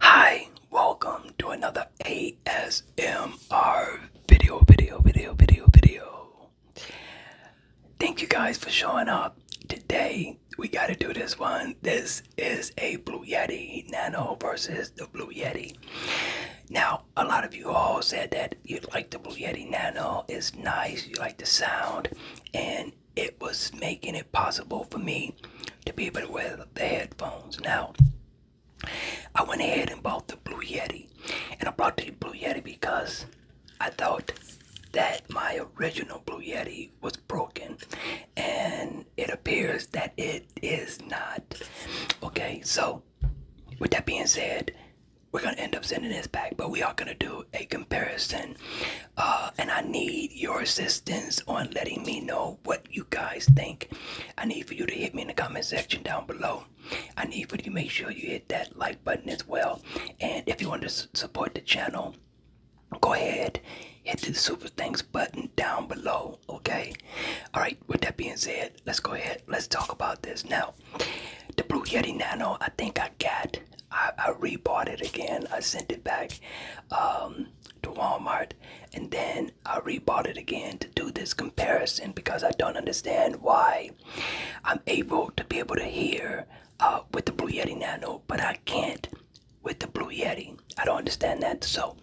Hi, welcome to another ASMR video, video, video, video, video. Thank you guys for showing up. Today, we gotta do this one. This is a Blue Yeti Nano versus the Blue Yeti. Now, a lot of you all said that you like the Blue Yeti Nano. It's nice, you like the sound, and it was making it possible for me to be able to wear the headphones. Now, I went ahead and bought the Blue Yeti, and I bought the Blue Yeti because I thought that my original Blue Yeti was broken, and it appears that it is not. Okay, so with that being said, we're gonna end up sending this back, but we are gonna do a comparison uh, and I need your assistance on letting me know what you guys think. I need for you to hit me in the comment section down below. I need for you to make sure you hit that like button as well. And if you want to support the channel, go ahead, hit the super thanks button down below, okay? All right, with that being said, let's go ahead, let's talk about this. Now, the Blue Yeti Nano, I think I got I, I rebought it again. I sent it back um, to Walmart and then I rebought it again to do this comparison because I don't understand why I'm able to be able to hear uh, with the Blue Yeti Nano, but I can't with the Blue Yeti. I don't understand that. So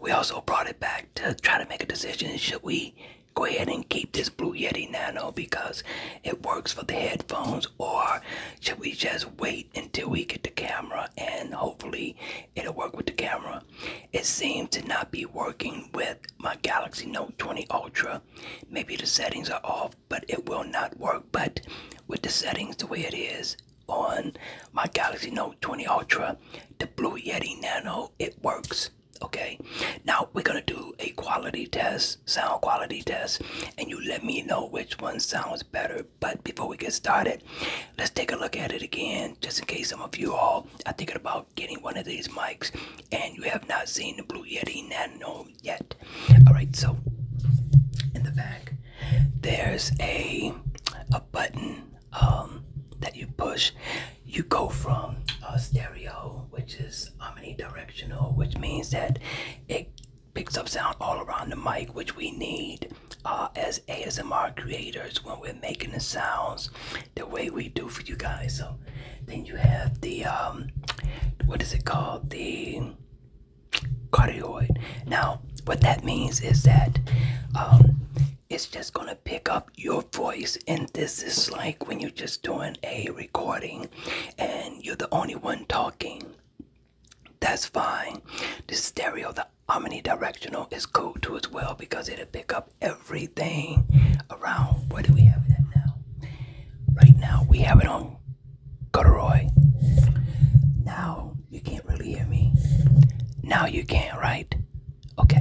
we also brought it back to try to make a decision. Should we go ahead and keep this Blue Yeti Nano because it works for the headphones or should we just wait until we get the camera and hopefully it'll work with the camera? It seems to not be working with my Galaxy Note 20 Ultra. Maybe the settings are off, but it will not work. But with the settings the way it is on my Galaxy Note 20 Ultra, the Blue Yeti Nano, it works okay now we're gonna do a quality test sound quality test and you let me know which one sounds better. But before we get started, let's take a look at it again, just in case some of you all are thinking about getting one of these mics and you have not seen the Blue Yeti Nano yet. All right, so in the back, there's a a button um, that you push. You go from uh, stereo, which is omnidirectional, which means that it picks up sound all around the mic, which we need uh, as ASMR creators when we're making the sounds the way we do for you guys. So then you have the um, what is it called? The cardioid. Now, what that means is that um, it's just gonna pick up your voice, and this is like when you're just doing a recording and you're the only one talking. That's fine. The stereo, the omnidirectional is cool too as well because it'll pick up everything around. Where do we have that now? Right now we have it on corduroy. Now you can't really hear me. Now you can, not right? Okay.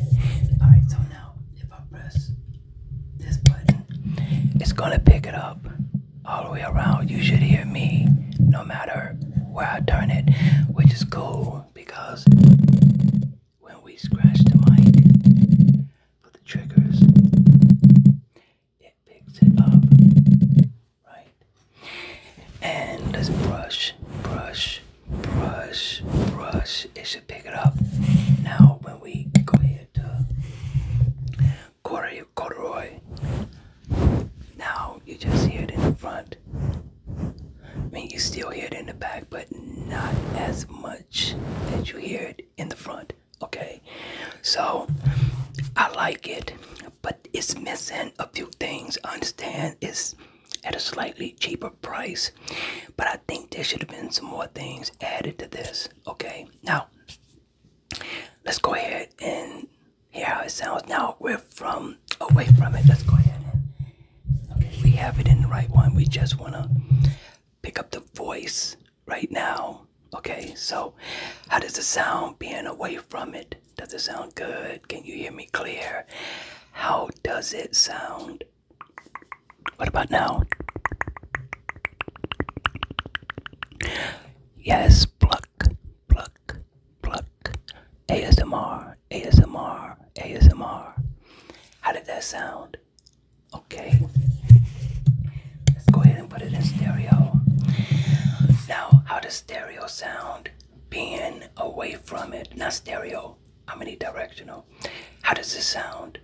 All right. So now if I press this button, it's gonna pick it up all the way around. You should hear me no matter where I turn it, which is cool because when we scratch the mic for the triggers, it picks it up, right? And let's brush, brush, brush, brush. It should pick it up. Now, when we go ahead to corduroy. Now you just hear it in the front. I mean, you still hear it in the back, but not as much as you hear it in the front. Okay, so I like it, but it's missing a few things. understand it's at a slightly cheaper price, but I think there should have been some more things added to this. Okay, now let's go ahead and hear how it sounds. Now we're from away from it. Let's go ahead and okay, we have it in the right one. We just wanna pick up the voice right now. Okay, so how does it sound being away from it? Does it sound good? Can you hear me clear? How does it sound? What about now? Yes, pluck, pluck, pluck. ASMR, ASMR, ASMR. How did that sound? Okay. Let's go ahead and put it in stereo. Now, how does stereo sound being away from it? Not stereo, I'm directional? How does this sound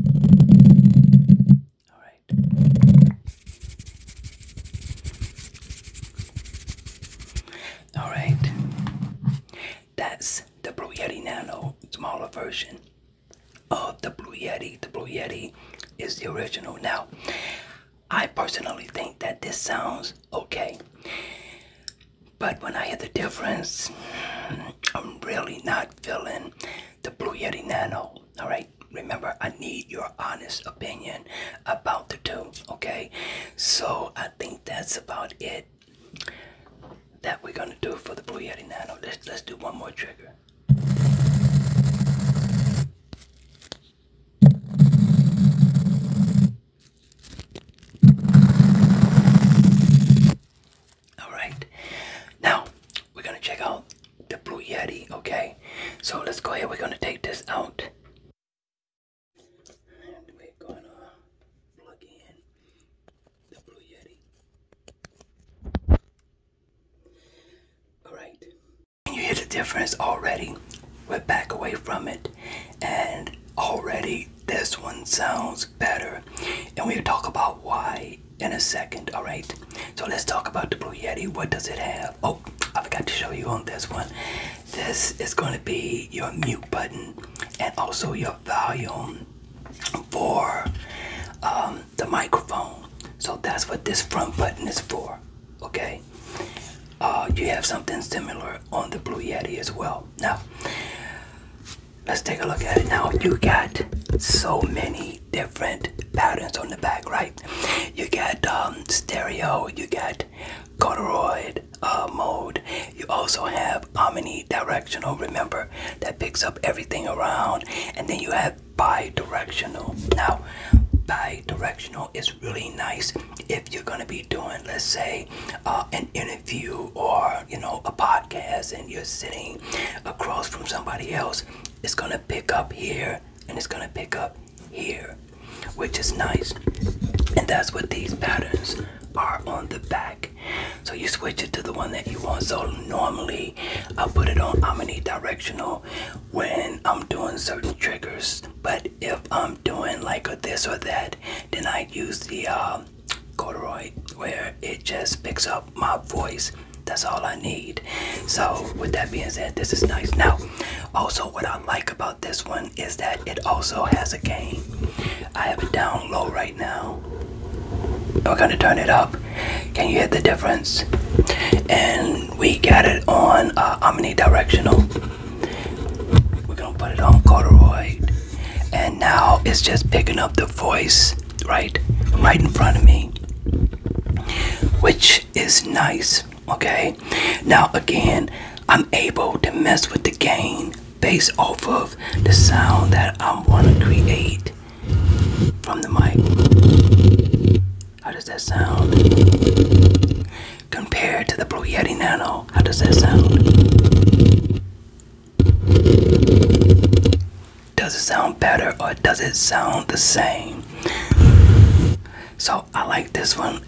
All right. All right. That's the Blue Yeti Nano, smaller version of the Blue Yeti. The Blue Yeti is the original. Now, I personally think that this sounds okay. But when I hear the difference, I'm really not feeling the Blue Yeti Nano. All right. Remember, I need your honest opinion about the two. Okay. So I think that's about it. That we're gonna do for the Blue Yeti Nano. Let's let's do one more trigger. Alright, now we're gonna check out the Blue Yeti, okay? So let's go ahead, we're gonna take this out. And we're gonna plug in the Blue Yeti. Alright, you hear the difference already? We're back away from it, and already this one sounds better. And we'll talk about why in a second. All right. So let's talk about the Blue Yeti. What does it have? Oh, I forgot to show you on this one. This is going to be your mute button and also your volume for um, the microphone. So that's what this front button is for. Okay. Uh, you have something similar on the Blue Yeti as well. Now, Let's take a look at it now. You got so many different patterns on the back, right? You got um, stereo, you got corduroid uh, mode. You also have omnidirectional, remember, that picks up everything around. And then you have bidirectional. Now, bidirectional is really nice if you're going to be doing, let's say, uh, an interview or you know, a podcast and you're sitting across from somebody else, it's going to pick up here and it's going to pick up here, which is nice. And that's what these patterns are on the back. So you switch it to the one that you want. So normally I put it on omnidirectional when I'm doing certain triggers. But if I'm doing like a this or that, then I use the um, corduroy where it just picks up my voice. That's all I need. So with that being said, this is nice. Now, also what I like about this one is that it also has a gain. I have it down low right now. We're gonna turn it up. Can you hear the difference? And we got it on uh, omnidirectional. We're gonna put it on corduroy and now it's just picking up the voice right right in front of me which is nice okay now again i'm able to mess with the gain based off of the sound that i am going to create from the mic how does that sound compared to the blue yeti nano how does that sound does it sound better or does it sound the same? So I like this one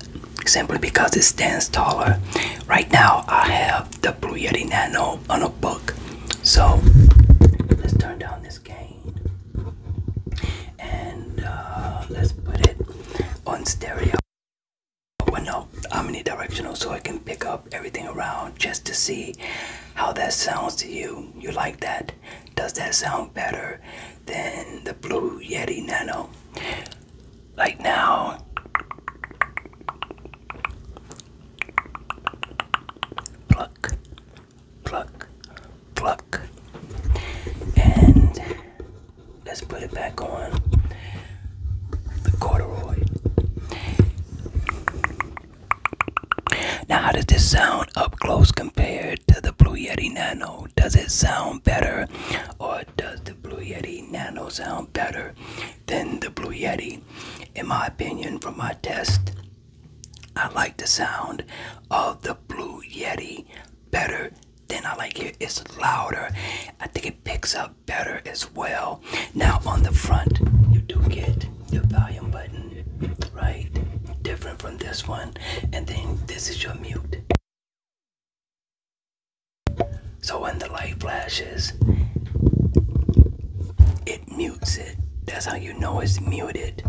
simply because it stands taller. Right now I have the Blue Yeti Nano on a book. So let's turn down this gain and uh, let's put it on stereo. I'm window omnidirectional so I can pick up everything around just to see how that sounds to you. You like that? Does that sound better than the Blue Yeti Nano? Like now. Pluck, pluck, pluck. And let's put it back on the corduroy. Now, how does this sound up close compared to the Blue Yeti Nano? Does it sound better, or does the Blue Yeti Nano sound better than the Blue Yeti? In my opinion, from my test, I like the sound of the Blue Yeti better than I like it. It's louder. I think it picks up better as well. Now on the front, you do get your volume button, right? Different from this one. And then this is your mute. So when the light flashes, it mutes it. That's how you know it's muted.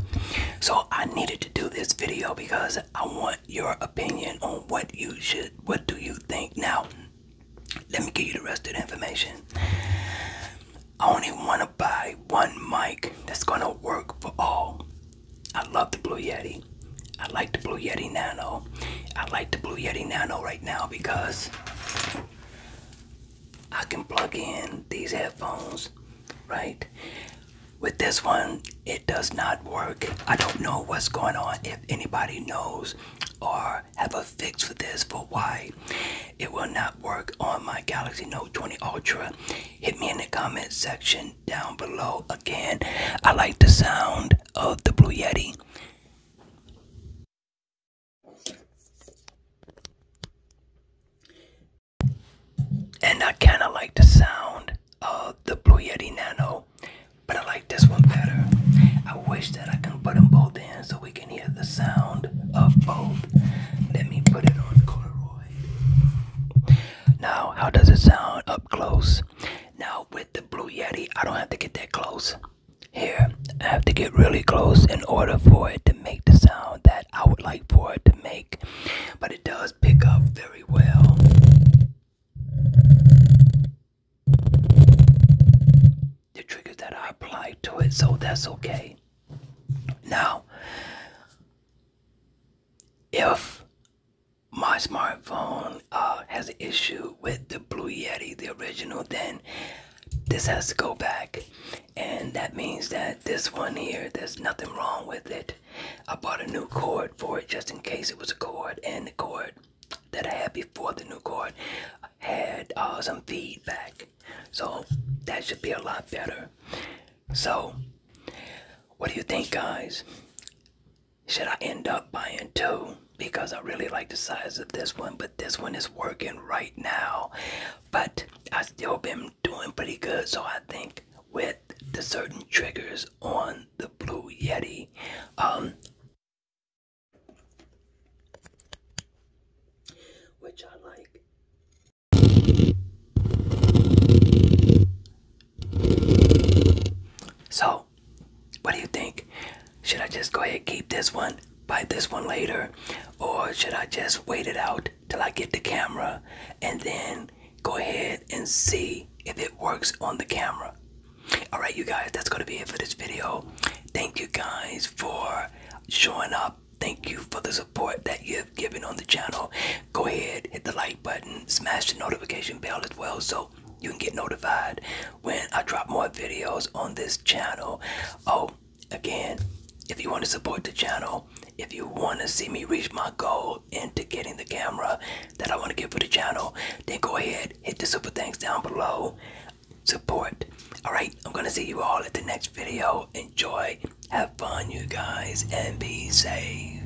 So I needed to do this video because I want your opinion on what you should, what do you think. Now, let me give you the rest of the information. I only want to buy one mic that's going to work for all. I love the Blue Yeti. I like the Blue Yeti Nano. I like the Blue Yeti Nano right now because I can plug in these headphones, right? With this one, it does not work. I don't know what's going on. If anybody knows, or have a fix for this for why it will not work on my Galaxy Note 20 Ultra, hit me in the comment section down below. Again, I like the sound of the Blue Yeti. And I kind of like the sound of the Blue Yeti Nano but I like this one better. I wish that I can put them both in so we can hear the sound of both. Let me put it on Polaroid. Now, how does it sound up close? Now, with the Blue Yeti, I don't have to get that close. Here, I have to get really close in order for it to make the sound that I would like for it to make. But it does pick up very well the trigger that I applied to it, so that's okay. Now, if my smartphone uh, has an issue with the Blue Yeti, the original, then this has to go back. And that means that this one here, there's nothing wrong with it. I bought a new cord for it just in case it was a cord, and the cord that I had before the new card had uh, some feedback. So that should be a lot better. So, what do you think, guys? Should I end up buying two? Because I really like the size of this one, but this one is working right now. But I still been doing pretty good, so I think with the certain triggers on the Blue Yeti. Um, which I like. So, what do you think? Should I just go ahead keep this one, buy this one later, or should I just wait it out till I get the camera and then go ahead and see if it works on the camera. Alright, you guys, that's going to be it for this video. Thank you guys for showing up. Thank you for the support that you've given on the channel. Go ahead, hit the like button, smash the notification bell as well so you can get notified when I drop more videos on this channel. Oh, again, if you want to support the channel, if you want to see me reach my goal into getting the camera, that I want to give for the channel, then go ahead, hit the super thanks down below. Support. Alright, I'm going to see you all at the next video. Enjoy, have fun, you guys, and be safe.